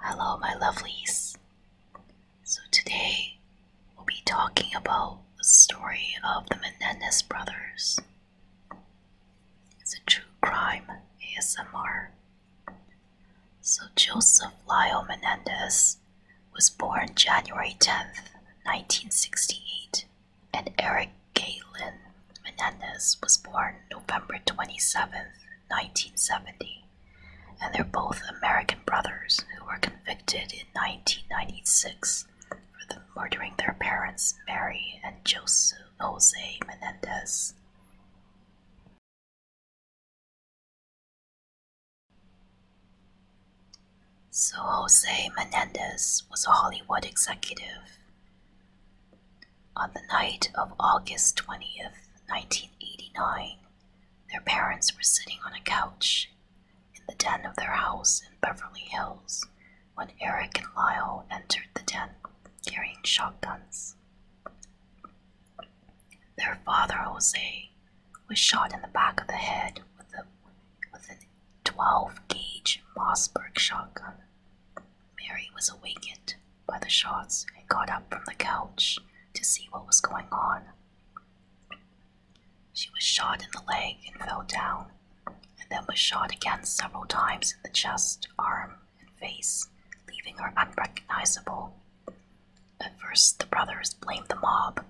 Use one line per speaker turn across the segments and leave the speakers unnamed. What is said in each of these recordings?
Hello, my lovelies. So, today we'll be talking about the story of the Menendez brothers. It's a true crime ASMR. So, Joseph Lyle Menendez was born January 10th, 1968, and Eric Galen Menendez was born November 27, 1970, and they're both American brothers who were convicted in 1996 for murdering their parents, Mary and Jose Menendez. So, Jose Menendez was a Hollywood executive on the night of August 20th, 1989, their parents were sitting on a couch in the den of their house in Beverly Hills when Eric and Lyle entered the den carrying shotguns. Their father, Jose, was shot in the back of the head with a with a 12 gauge Mossberg shotgun. Mary was awakened by the shots and got up from the couch to see what was going on. She was shot in the leg and fell down, and then was shot again several times in the chest, arm, and face, leaving her unrecognizable. At first, the brothers blamed the mob,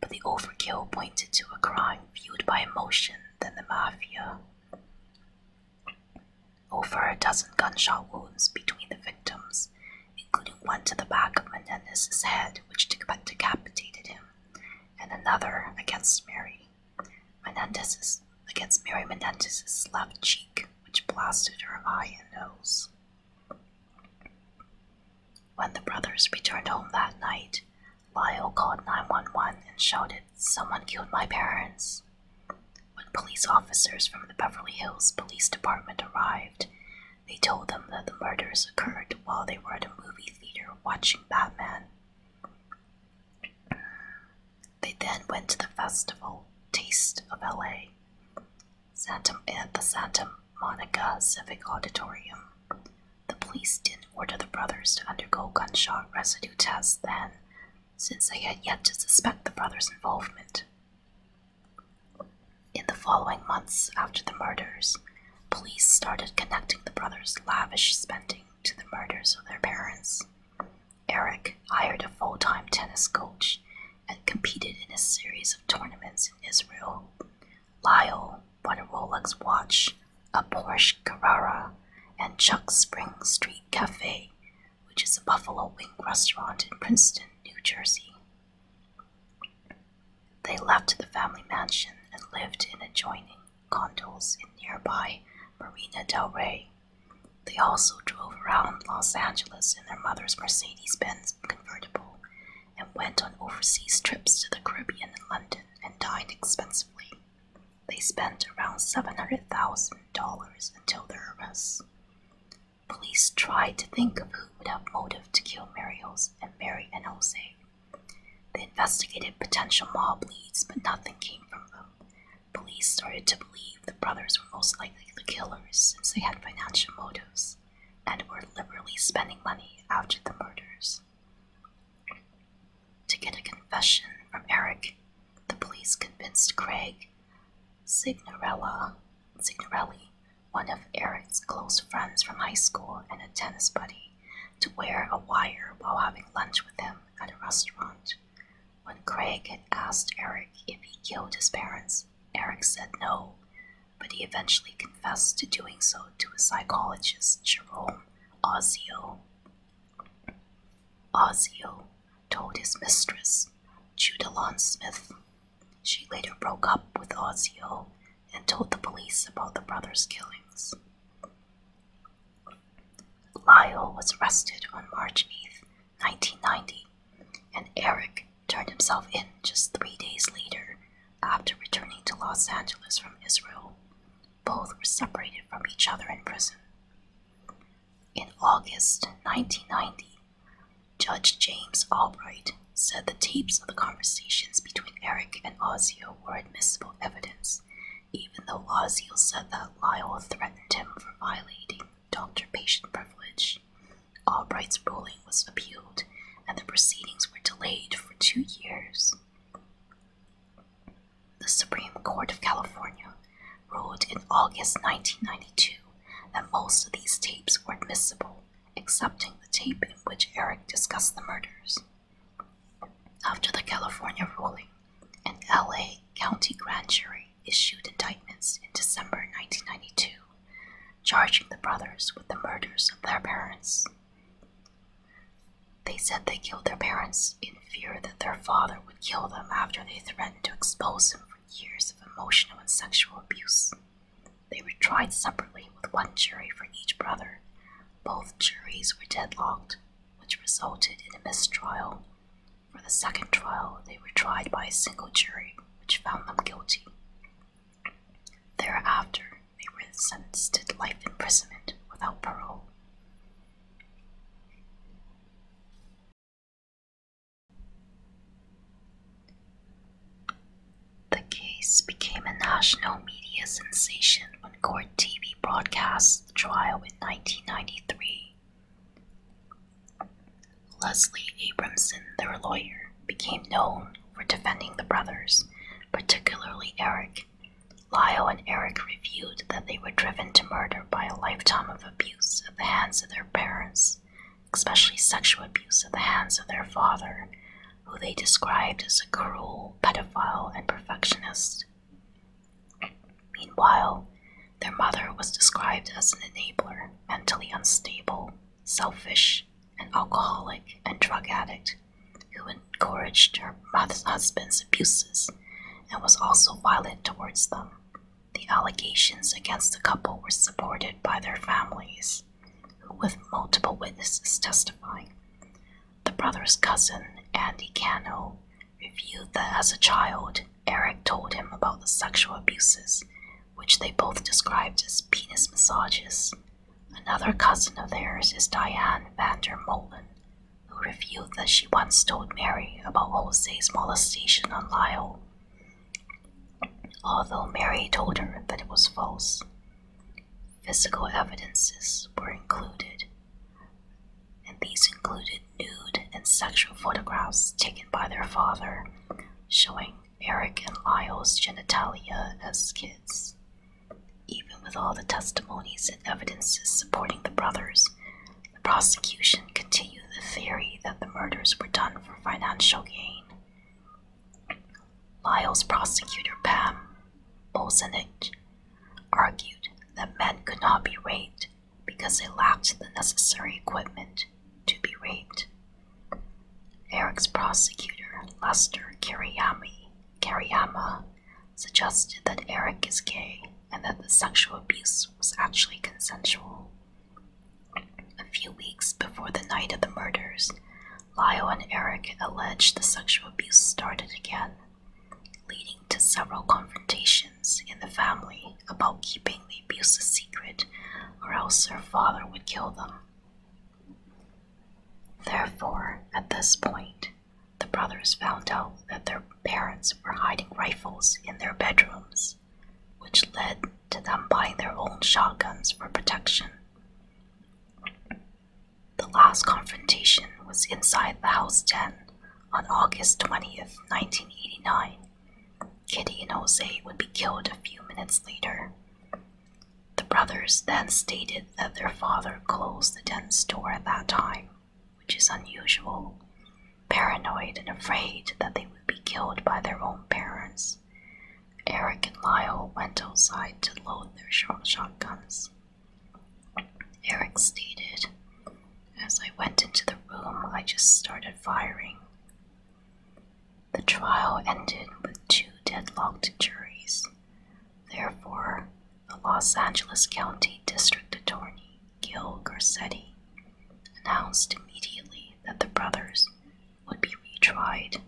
but the overkill pointed to a crime viewed by emotion than the mafia. Over a dozen gunshot wounds between the victims, including one to the back of Menendez's head, which decapitated him, and another against Mary Menendez's against Mary Menendez's left cheek, which blasted her eye and nose. When the brothers returned home that night, Lyle called 911 and shouted, Someone killed my parents. When police officers from the Beverly Hills Police Department arrived, they told them that the murders occurred while they were at a movie theater watching Batman. They then went to the festival Taste of LA at the Santa Monica Civic Auditorium, the police didn't order the brothers to undergo gunshot residue tests then, since they had yet to suspect the brothers' involvement. In the following months after the murders, police started connecting the brothers' lavish spending to the murders of their parents. Eric hired a full time tennis coach and competed in a series of tournaments in Israel, Lyle bought a Rolex watch, a Porsche Carrera, and Chuck's Spring Street Cafe, which is a buffalo wing restaurant in Princeton, New Jersey. They left the family mansion and lived in adjoining condos in nearby Marina del Rey. They also drove around Los Angeles in their mother's Mercedes Benz convertible and went on overseas trips to the Caribbean and London and dined expensively. They spent around $700,000 until their arrest. Police tried to think of who would have motive to kill Marios and Mary and Jose. They investigated potential mob leads, but nothing came from them. Police started to believe the brothers were most likely the killers since they had financial motives and were liberally spending money after the murders. To get a confession from Eric, the police convinced Craig Signorella, Signorelli, one of Eric's close friends from high school and a tennis buddy, to wear a wire while having lunch with him at a restaurant. When Craig had asked Eric if he killed his parents, Eric said no, but he eventually confessed to doing so to a psychologist, Jerome Ozio. Ozio told his mistress, Judalon Smith. She later broke up with Ozio and told the police about the brothers' killings. Lyle was arrested on March eighth, 1990, and Eric turned himself in just three days later after returning to Los Angeles from Israel, both were separated from each other in prison. In August 1990, Judge James Albright said the tapes of the conversations between Eric and Ozio were admissible evidence, even though Ozio said that Lyle threatened him for violating doctor patient privilege Albright's ruling was appealed, and the proceedings were delayed for two years. The Supreme Court of California ruled in August 1992 that most of these tapes were admissible, excepting the tape in which Eric discussed the murders. After the California ruling, an LA County grand jury issued indictments in December 1992 charging the brothers with the murders of their parents. They said they killed their parents in fear that their father would kill them after they threatened to expose him for years of emotional and sexual abuse. They were tried separately with one jury for each brother. Both juries were deadlocked, which resulted in a mistrial. For the second trial, they were tried by a single jury, which found them guilty. Thereafter, they were sentenced to life imprisonment without parole. The case became a national media sensation when Court TV broadcast the trial in 1993. Leslie Abramson, their lawyer, became known for defending the brothers, particularly Eric. Lyle and Eric revealed that they were driven to murder by a lifetime of abuse at the hands of their parents, especially sexual abuse at the hands of their father, who they described as a cruel pedophile and perfectionist. Meanwhile, their mother was described as an enabler, mentally unstable, selfish, an alcoholic, and drug addict who encouraged her husband's abuses and was also violent towards them. The allegations against the couple were supported by their families, who, with multiple witnesses testifying. The brother's cousin, Andy Cano, revealed that as a child, Eric told him about the sexual abuses which they both described as penis massages. Another cousin of theirs is Diane van Molen, who revealed that she once told Mary about Jose's molestation on Lyle, although Mary told her that it was false. Physical evidences were included, and these included nude and sexual photographs taken by their father showing Eric and Lyle's genitalia as kids. Even with all the testimonies and evidences supporting the brothers, the prosecution continued the theory that the murders were done for financial gain. Lyle's prosecutor, Pam Bolzenich, argued that men could not be raped because they lacked the necessary equipment to be raped. Eric's prosecutor, Lester Kiriyami, Kiriyama suggested that Eric is gay and that the sexual abuse was actually consensual. A few weeks before the night of the murders, Lyle and Eric alleged the sexual abuse started again, leading to several confrontations in the family about keeping the abuse a secret, or else their father would kill them. Therefore, at this point, the brothers found out that their parents were hiding rifles in their bedrooms, which led to them buying their own shotguns for protection. The last confrontation was inside the house den on August 20th, 1989, Kitty and Jose would be killed a few minutes later. The brothers then stated that their father closed the tent store at that time, which is unusual, paranoid and afraid that they would be killed by their own parents. Eric and Lyle went outside to load their shotguns. Eric stated, as I went into the room, I just started firing. The trial ended with two deadlocked juries. Therefore, the Los Angeles County District Attorney, Gil Garcetti, announced immediately that the brothers would be retried.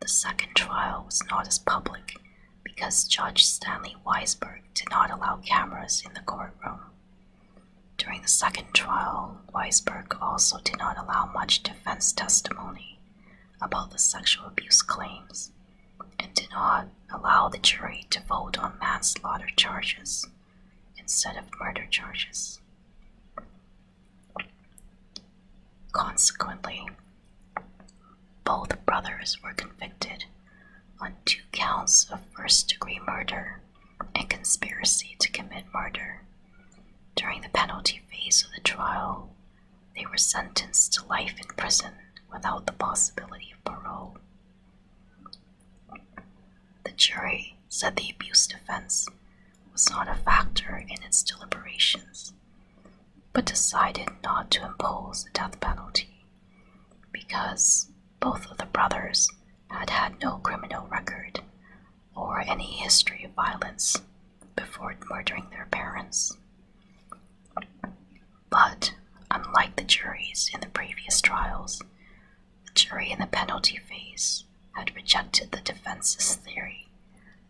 The second trial was not as public because Judge Stanley Weisberg did not allow cameras in the courtroom. During the second trial, Weisberg also did not allow much defense testimony about the sexual abuse claims and did not allow the jury to vote on manslaughter charges instead of murder charges. Consequently, both brothers were convicted on two counts of first degree murder and conspiracy to commit murder. During the penalty phase of the trial, they were sentenced to life in prison without the possibility of parole. The jury said the abuse defense was not a factor in its deliberations, but decided not to impose the death penalty because both of the brothers had had no criminal record or any history of violence before murdering their parents. But unlike the juries in the previous trials, the jury in the penalty phase had rejected the defense's theory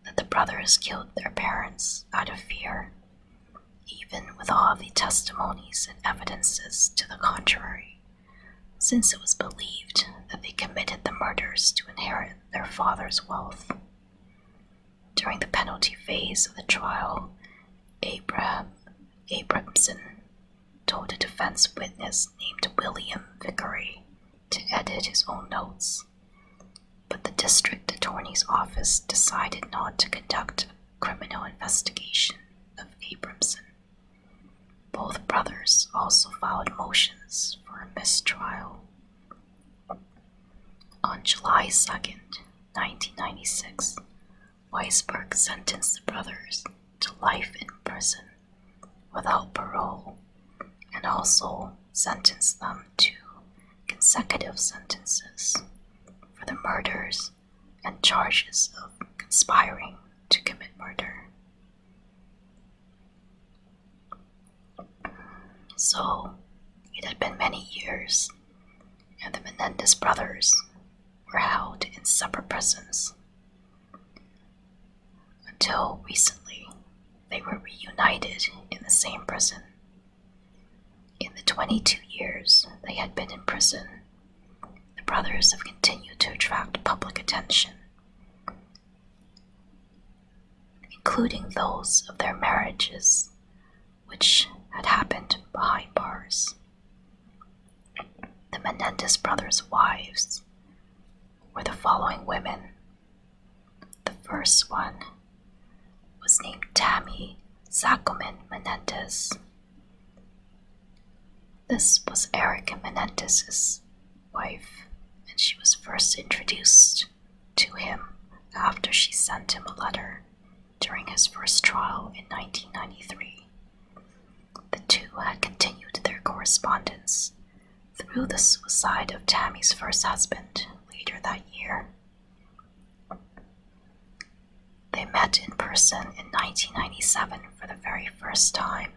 that the brothers killed their parents out of fear even with all the testimonies and evidences to the contrary, since it was believed that they committed the murders to inherit their father's wealth. During the penalty phase of the trial, Abraham Abramson told a defense witness named William Vickery to edit his own notes, but the district attorney's office decided not to conduct criminal investigation of Abramson. Both brothers also filed motions for a mistrial. On July second, 1996, Weisberg sentenced the brothers to life in prison without parole and also sentenced them to consecutive sentences for the murders and charges of conspiring to commit murder. So it had been many years, and the Menendez brothers were held in separate prisons. Until recently, they were reunited in the same prison in the 22 years they had been in prison, the brothers have continued to attract public attention, including those of their marriages, which had happened behind bars. The Menendez brothers' wives were the following women. The first one was named Tammy Zacoman Menendez. This was Erica Menendez's wife, and she was first introduced to him after she sent him a letter during his first trial in 1993. The two had continued their correspondence through the suicide of Tammy's first husband later that year. They met in person in 1997 for the very first time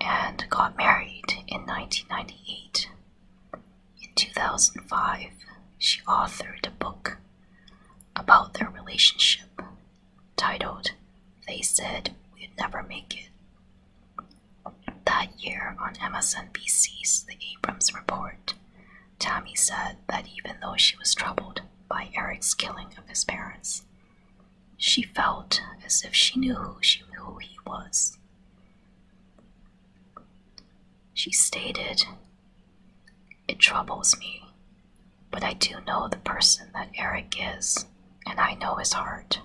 and got married in 1998. In 2005, she authored a book about their relationship titled They Said We'd Never Make It. That year on MSNBC's The Abrams Report, Tammy said that even though she was troubled by Eric's killing of his parents, she felt as if she knew who, she, who he was. She stated, It troubles me, but I do know the person that Eric is, and I know his heart.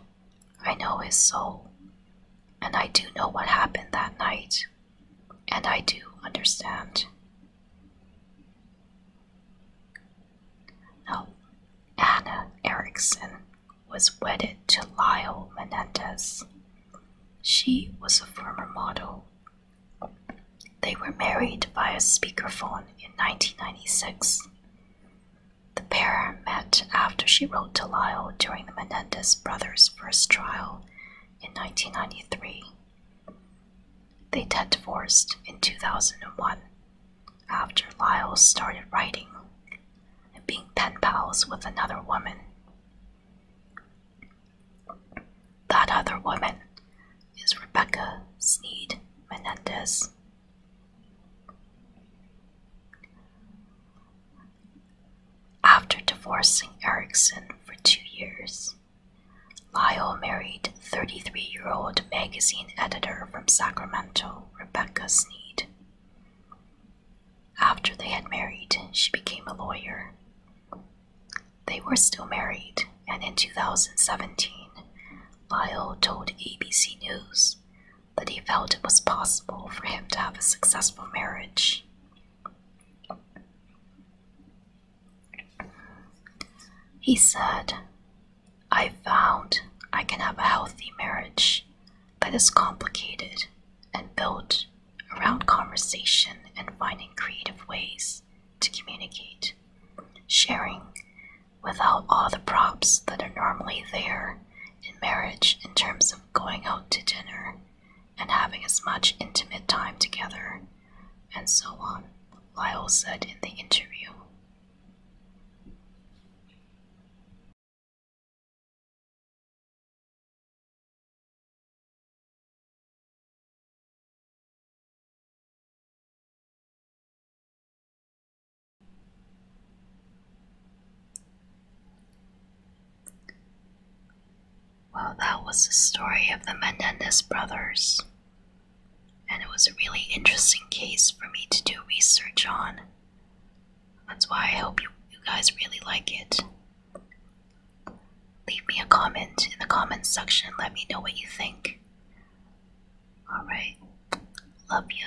I know his soul. And I do know what happened that night. And I do understand. No, Anna Erickson was wedded to Lyle Menendez. She was a former model. They were married via speakerphone in 1996. The pair met after she wrote to Lyle during the Menendez brothers' first trial in 1993. They got divorced in 2001 after Lyles started writing and being pen pals with another woman. That other woman is Rebecca Sneed Menendez. After divorcing Erickson for two years, Lyle married 33 year old magazine editor from Sacramento, Rebecca Snead. After they had married, she became a lawyer. They were still married, and in 2017, Lyle told ABC News that he felt it was possible for him to have a successful marriage. He said, I found I can have a healthy marriage that is complicated and built around conversation and finding creative ways to communicate, sharing without all the props that are normally there in marriage in terms of going out to dinner and having as much intimate time together, and so on, Lyle said in the interview. Well, that was the story of the Mendez brothers, and it was a really interesting case for me to do research on. That's why I hope you guys really like it. Leave me a comment in the comments section, let me know what you think. Alright, love you.